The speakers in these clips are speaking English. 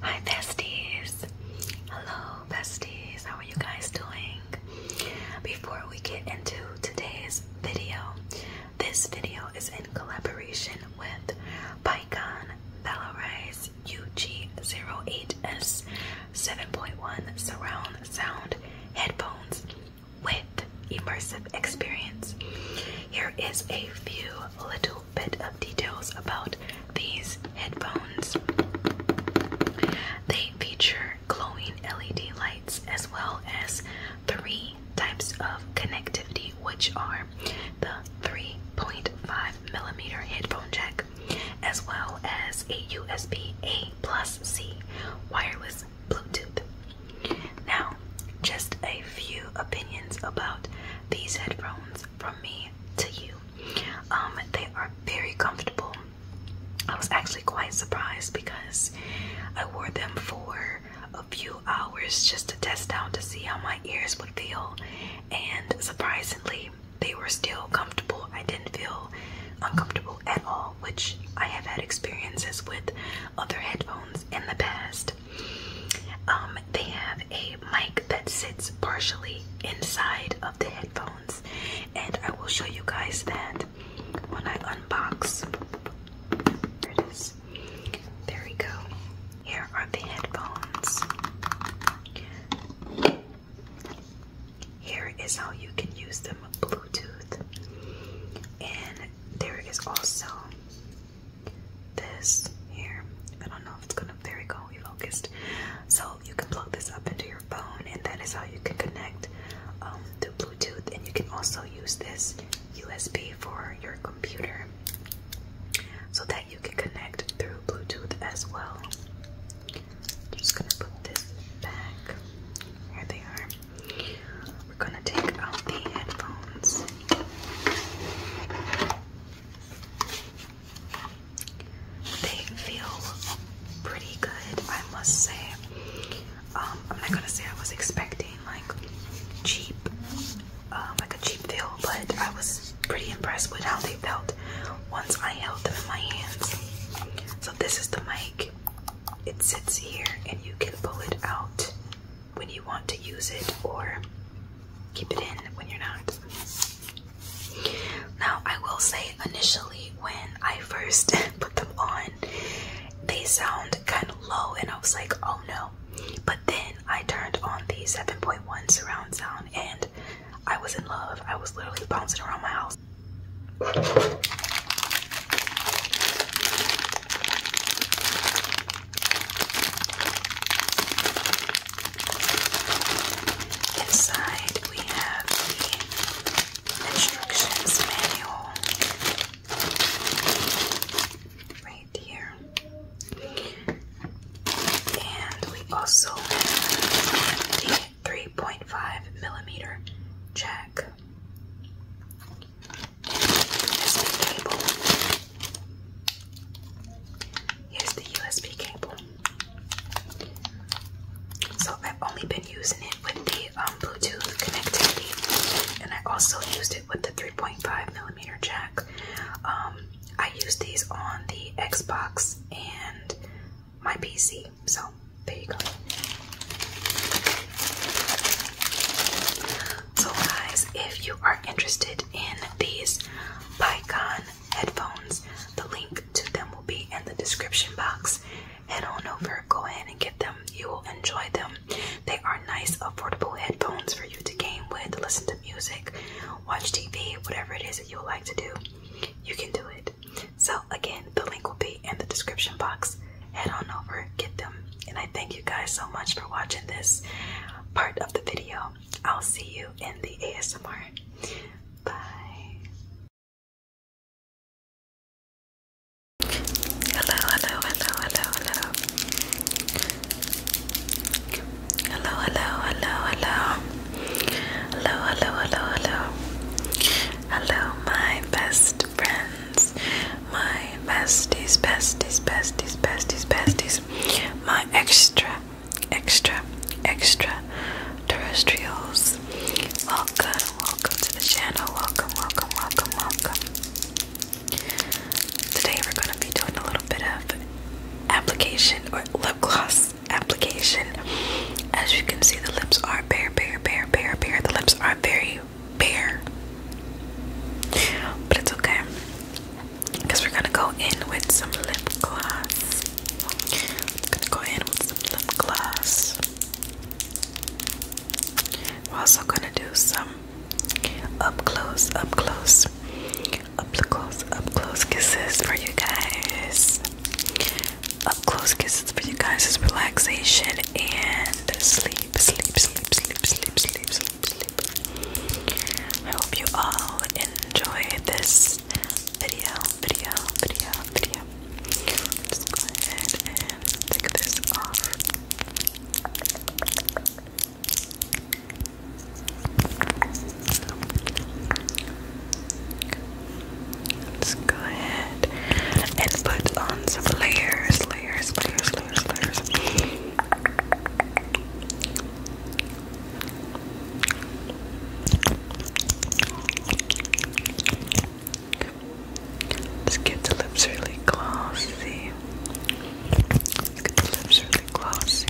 Hi besties. Hello besties. How are you guys doing? Before we get into today's video, this video is in collaboration with Pycon Valorize UG08S 7.1 surround sound headphones with immersive experience. Here is a few little bit of details about these headphones. They feature glowing LED lights as well as three types of connectivity, which are the 3.5 millimeter headphone jack, as well as a USB A plus C wireless Bluetooth. Now, just a few opinions about these headphones from me to you. Um, they are very comfortable. I was actually quite surprised because I wore them for a few hours just to test out to see how my ears would feel, and surprisingly, they were still comfortable. I didn't feel uncomfortable at all, which I have had experiences with other headphones in the past. Um, they have a mic that sits partially inside of the headphones, and I will show you guys that when I unbox. There we go. Here are the headphones. Here is how you can use them Bluetooth. And there is also this here. I don't know if it's gonna there we go, we So you can plug this up into your phone and that is how you can connect um, to Bluetooth and you can also use this USB for your computer so that you can connect through Bluetooth as well. just gonna put this back. Here they are. We're gonna take out the headphones. They feel pretty good, I must say. Um, I'm not gonna say I was expecting like cheap, uh, like a cheap feel, but I was pretty impressed with how they felt once I held them in my hands. So this is the mic. It sits here, and you can pull it out when you want to use it, or keep it in when you're not. Now I will say, initially when I first put them on, they sound kind of low, and I was like, oh no. But then I turned on the 7.1 surround sound, and I was in love. I was literally bouncing around my house. Inside, we have the instructions manual right here. And we also have the 3.5 millimeter jack cable. Here's the USB cable. So I've only been using it with the um, Bluetooth connectivity, and I also used it with the 3.5 millimeter jack. Um, I use these on the Xbox and my PC, so there you go. So, guys, if you are interested in these Pycon headphones, the link to them will be in the description box. Head on over Go in and get them. You will enjoy them. They are nice, affordable headphones for you to game with, listen to music, watch TV, whatever it is that you would like to do. You can do it. So, again, the link will be in the description box. Head on over, get them. And I thank you guys so much for watching this part of the video. I'll see you in the ASMR. Bye. Hello, hello, hello, hello, hello. Hello, hello, hello, hello. Hello, hello, hello, hello. Hello, my best friends. My besties, besties, besties, besties, besties. My extra, extra, extra terrestrials. Welcome, welcome to the channel. Welcome, welcome, welcome, welcome. Today we're going to be doing a little bit of application or lip gloss application. As you can see, the lips are bare, bare, bare, bare, bare. The lips are very bare. But it's okay. Because we're going to go in with some lip gloss. I'm going to go in with some lip gloss. We're also gonna do some up close, up close, up close, up close kisses for you guys. Up close kisses for you guys is relaxation and sleep, sleep, sleep, sleep, sleep, sleep, sleep, sleep. I hope you all enjoy this video, video, video, video. Just go ahead and take this off. Let's go ahead and put on some layers, layers, layers, layers, layers. Let's get the lips really glossy. Let's get the lips really glossy.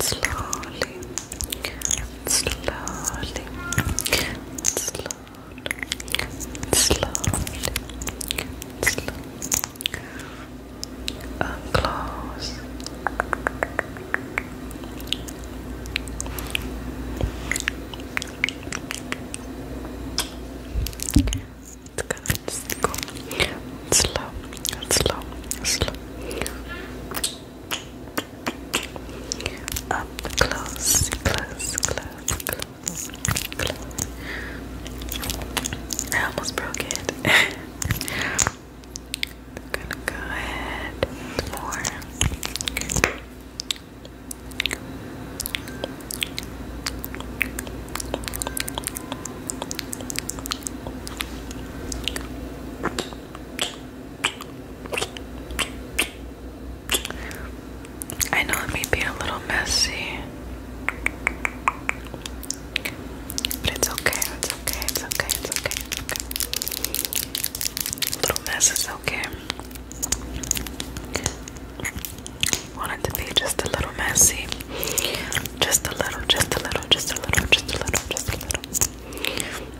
Slowly, slowly, slowly, slowly, slowly, unclose. It's slow, slow, slow. Up close, close, close, close, close. I almost broke it. I'm gonna go ahead with more. I know it may be a little messy, but it's okay, it's okay, it's okay, it's okay, it's okay. A little mess is okay. Want it to be just a little messy. Just a little, just a little, just a little, just a little, just a little. Just a little.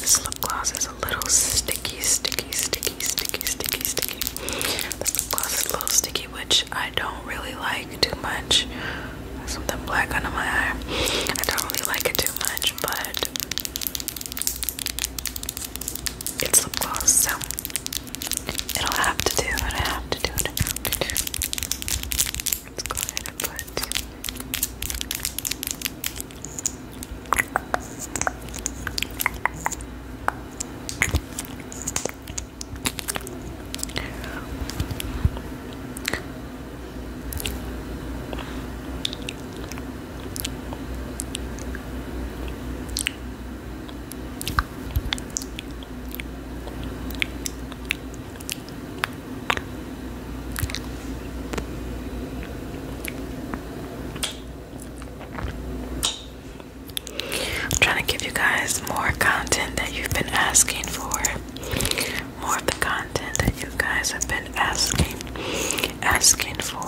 This lip gloss is a little sticky, sticky, sticky, sticky, sticky, sticky. This lip gloss is a little sticky, which I don't really like too much. something black under my eye. I don't really like it too much, but it's lip gloss, so it'll have to do what I have to do. What Let's go ahead and put. I'm trying to give you guys more content that you've been asking for. More of the content that you guys have been asking asking for.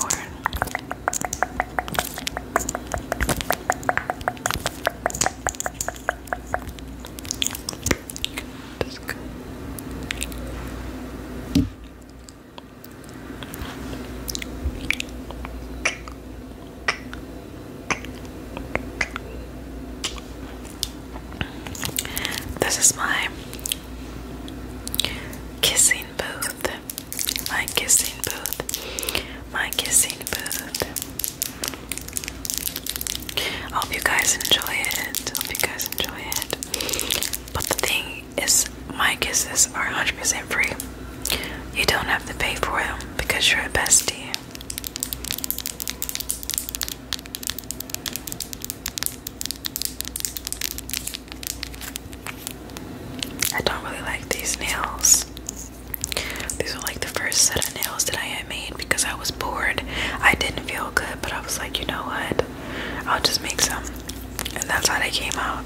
This is my kissing booth. My kissing booth. My kissing booth. I hope you guys enjoy it. I hope you guys enjoy it. But the thing is, my kisses are 100% free. You don't have to pay for them because you're a bestie. I don't really like these nails. These are like the first set of nails that I had made because I was bored. I didn't feel good, but I was like, you know what? I'll just make some. And that's how they came out.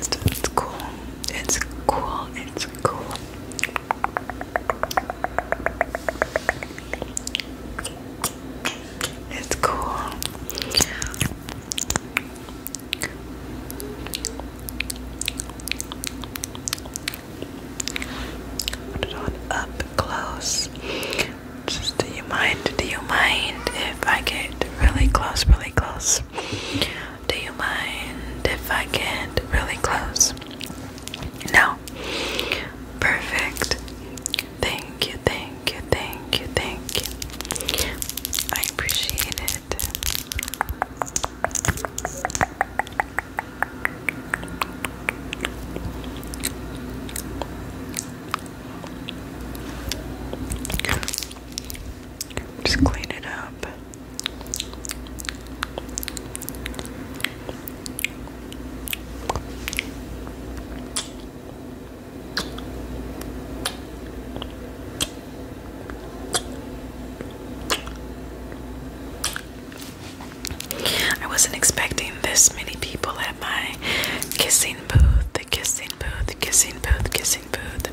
it's cool. It's cool. It's cool. It's cool. Put it on up close. do you mind? Do you mind if I get really close, really close? Do you mind if I get really close? No. Perfect. Thank you, thank you, thank you, thank you. I appreciate it. Just clean it up. I wasn't expecting this many people at my kissing booth, the kissing booth, kissing booth, kissing booth.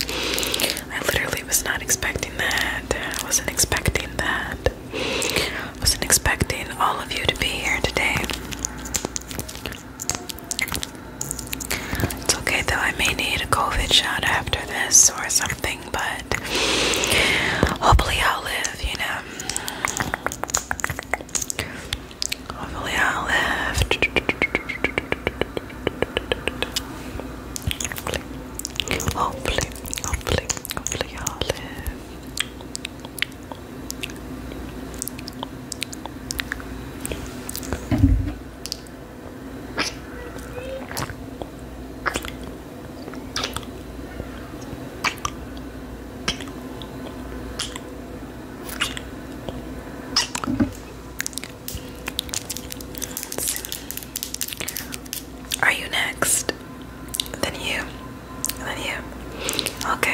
I literally was not expecting that. I wasn't expecting that. I wasn't expecting all of you to be here today. It's okay though, I may need a COVID shot after this or something but hopefully I'll live, you know. Hopefully I'll live. Hopefully, hopefully, hopefully I'll live. Are you next? Then you. Then you. Okay.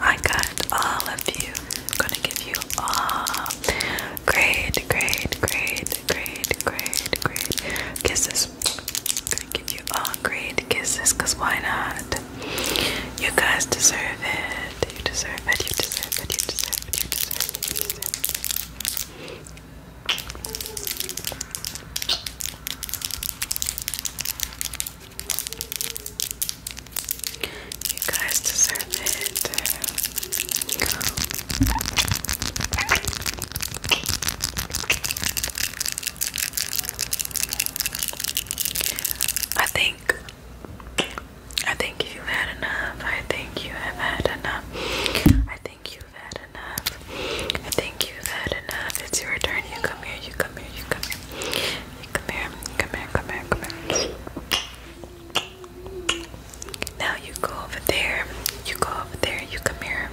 I got all of you. I'm gonna give you all. Great, great, great, great, great, great. Kisses gonna give you all great kisses, cause why not? You guys deserve it. You deserve it. You deserve it. You deserve it. You deserve it. You deserve it. You guys deserve it. I think I think you've had enough. I think you have had enough. I think you've had enough. I think you've had enough. It's your turn. You come here. You come here. You come here. Come here. Come here. Come here. Come here. Now you go over there. You go over there. You come here.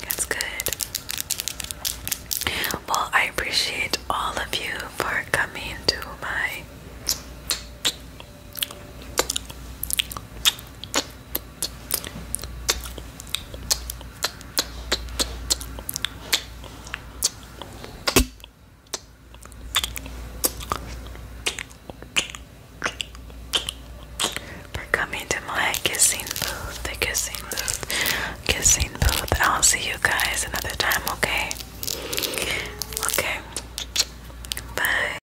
That's good. Well, I appreciate all of you for coming to my for coming to my kissing booth, the kissing booth, kissing booth. I'll see you guys another time, okay? Okay. Bye.